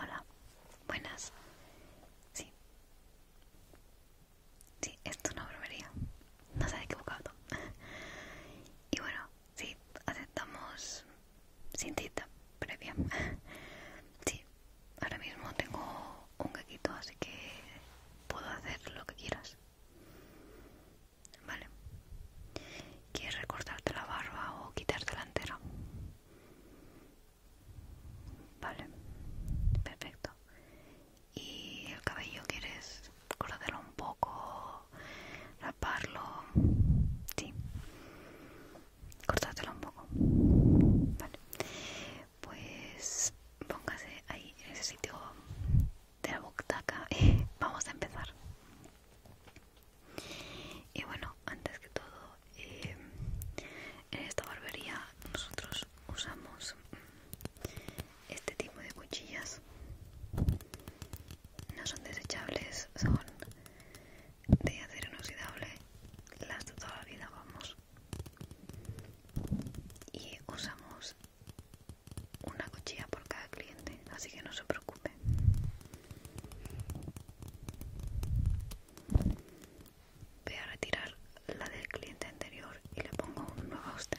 Hola, buenas. Sí. Sí, esto no una No se ha equivocado. Y bueno, sí, aceptamos sin cita previa. Sí, ahora mismo tengo un gaquito, así que puedo hacer lo que quieras. Vale. ¿Quieres recortarte la barba o quitarte la entera? Vale, perfecto. ¿Y el cabello quieres cortarlo un poco, raparlo? Sí, cortártelo un poco. Vale, pues póngase ahí en ese sitio de la butaca y vamos a empezar y bueno antes que todo em, en esta barbería nosotros usamos mm, este tipo de cuchillas no son desechables son de acero inoxidable las de toda la vida vamos y usamos una cuchilla por cada cliente así que no se preocupen Voy a retirar la del cliente anterior y le pongo un nuevo a usted.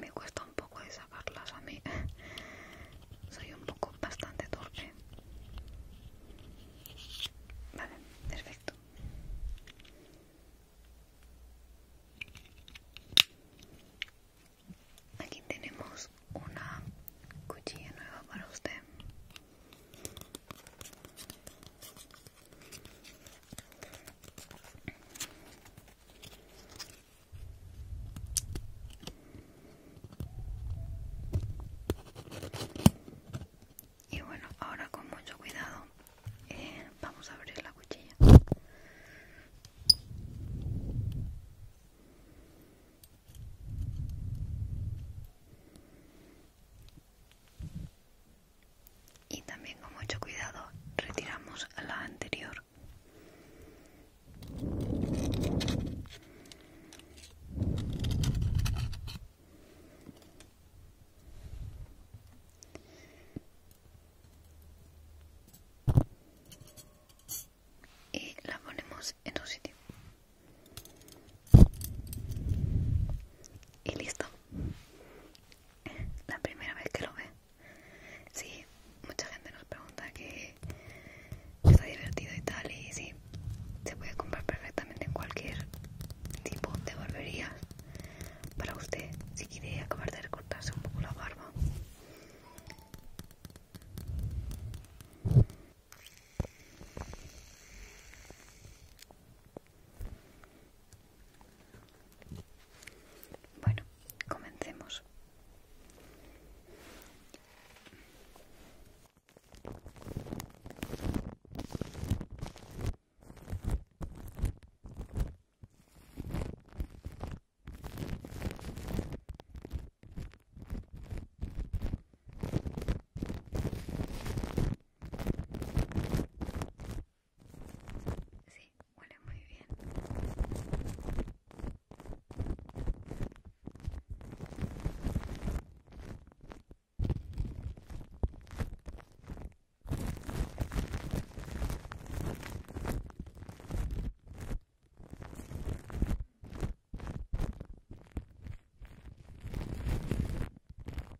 me cuesta un poco de a mí soy un poco bastante torpe vale perfecto aquí tenemos una cuchilla nueva para usted y bueno, ahora con mucho cuidado eh, vamos a abrir la cuchilla y también con mucho cuidado retiramos la anterior y la ponemos en un sitio y listo la primera vez que lo ve. Sí, mucha gente nos pregunta que está divertido y tal, y sí, se puede comprar perfectamente en cualquier tipo de barbería para usted si quiere acabar de recortarse un poco la barba. Bueno, comencemos. Sí, huele muy bien.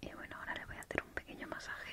Y bueno, ahora le voy a hacer un pequeño masaje.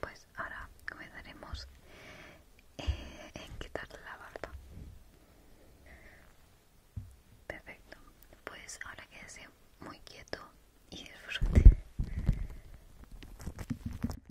Perfecto, pues ahora comenzaremos eh, en quitarle la barba. Perfecto, pues ahora quédese muy quieto y disfrute.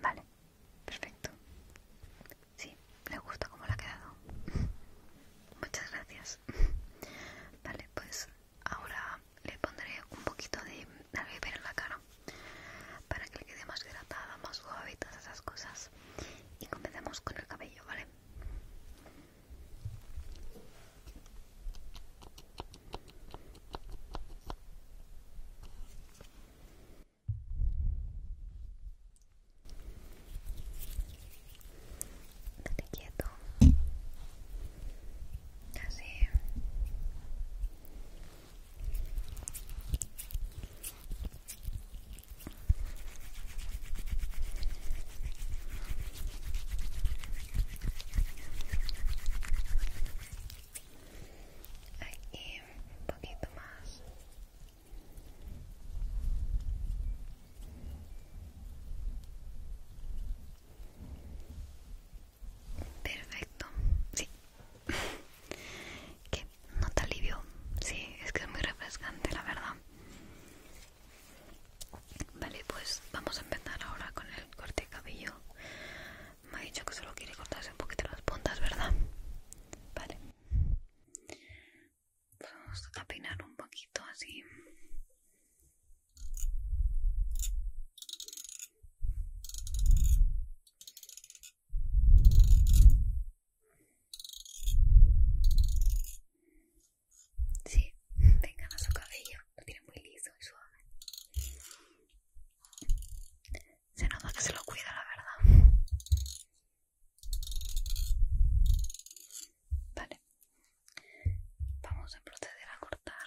Vale, perfecto. Sí, le gusta cómo le ha quedado. Muchas gracias. Vale, pues Ahora le pondré un poquito de alviver en la cara para que le quede más hidratada, más suave y todas esas cosas. Y comenzamos con el cabello, ¿vale? Date quieto. Así. Aquí un poquito más. Perfecto, sí. que no te alivio, sí, es que es muy refrescante, la verdad. Vale, pues vamos a empezar ahora con el corte de cabello. Me ha dicho que solo quiere cortarse un poquito las puntas, ¿verdad? Vale. Vamos a peinar un poquito así. Sí, vengan a su cabello, lo tiene muy liso y suave. Se nota que se lo cuida, la verdad. Vale, vamos a proceder a cortar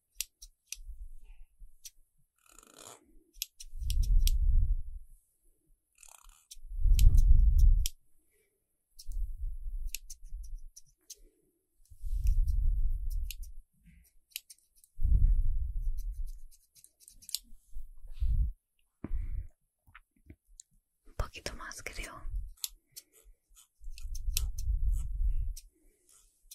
Un poquito más, creo.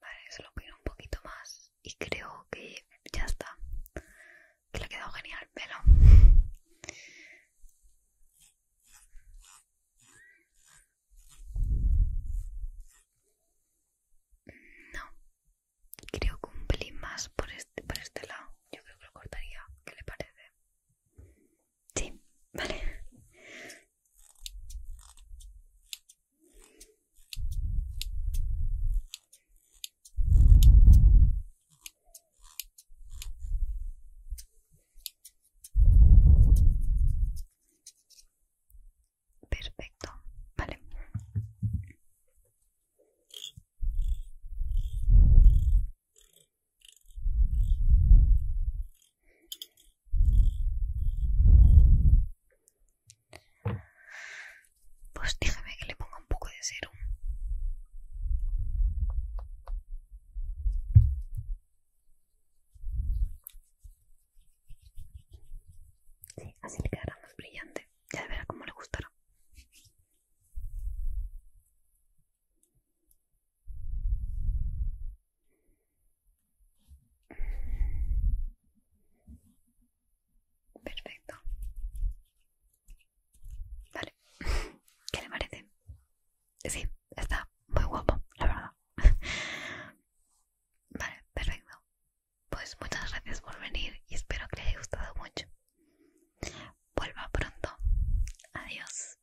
Vale, lo pido un poquito más y creo que ya está. Que le ha quedado genial pero No, creo que un pelín más por este, por este lado. Yo creo que lo cortaría. ¿Qué le parece? Sí, vale. Perfecto, vale. Pues déjame que le ponga un poco de serum. Sí, así le quedará más brillante. Ya verá cómo le gustará. Perfecto. Vale. ¿Qué le parece? Sí, está muy guapo, la verdad. Vale, perfecto. Pues muchas gracias por venir y espero que le haya gustado mucho. Vuelva pronto. Adiós.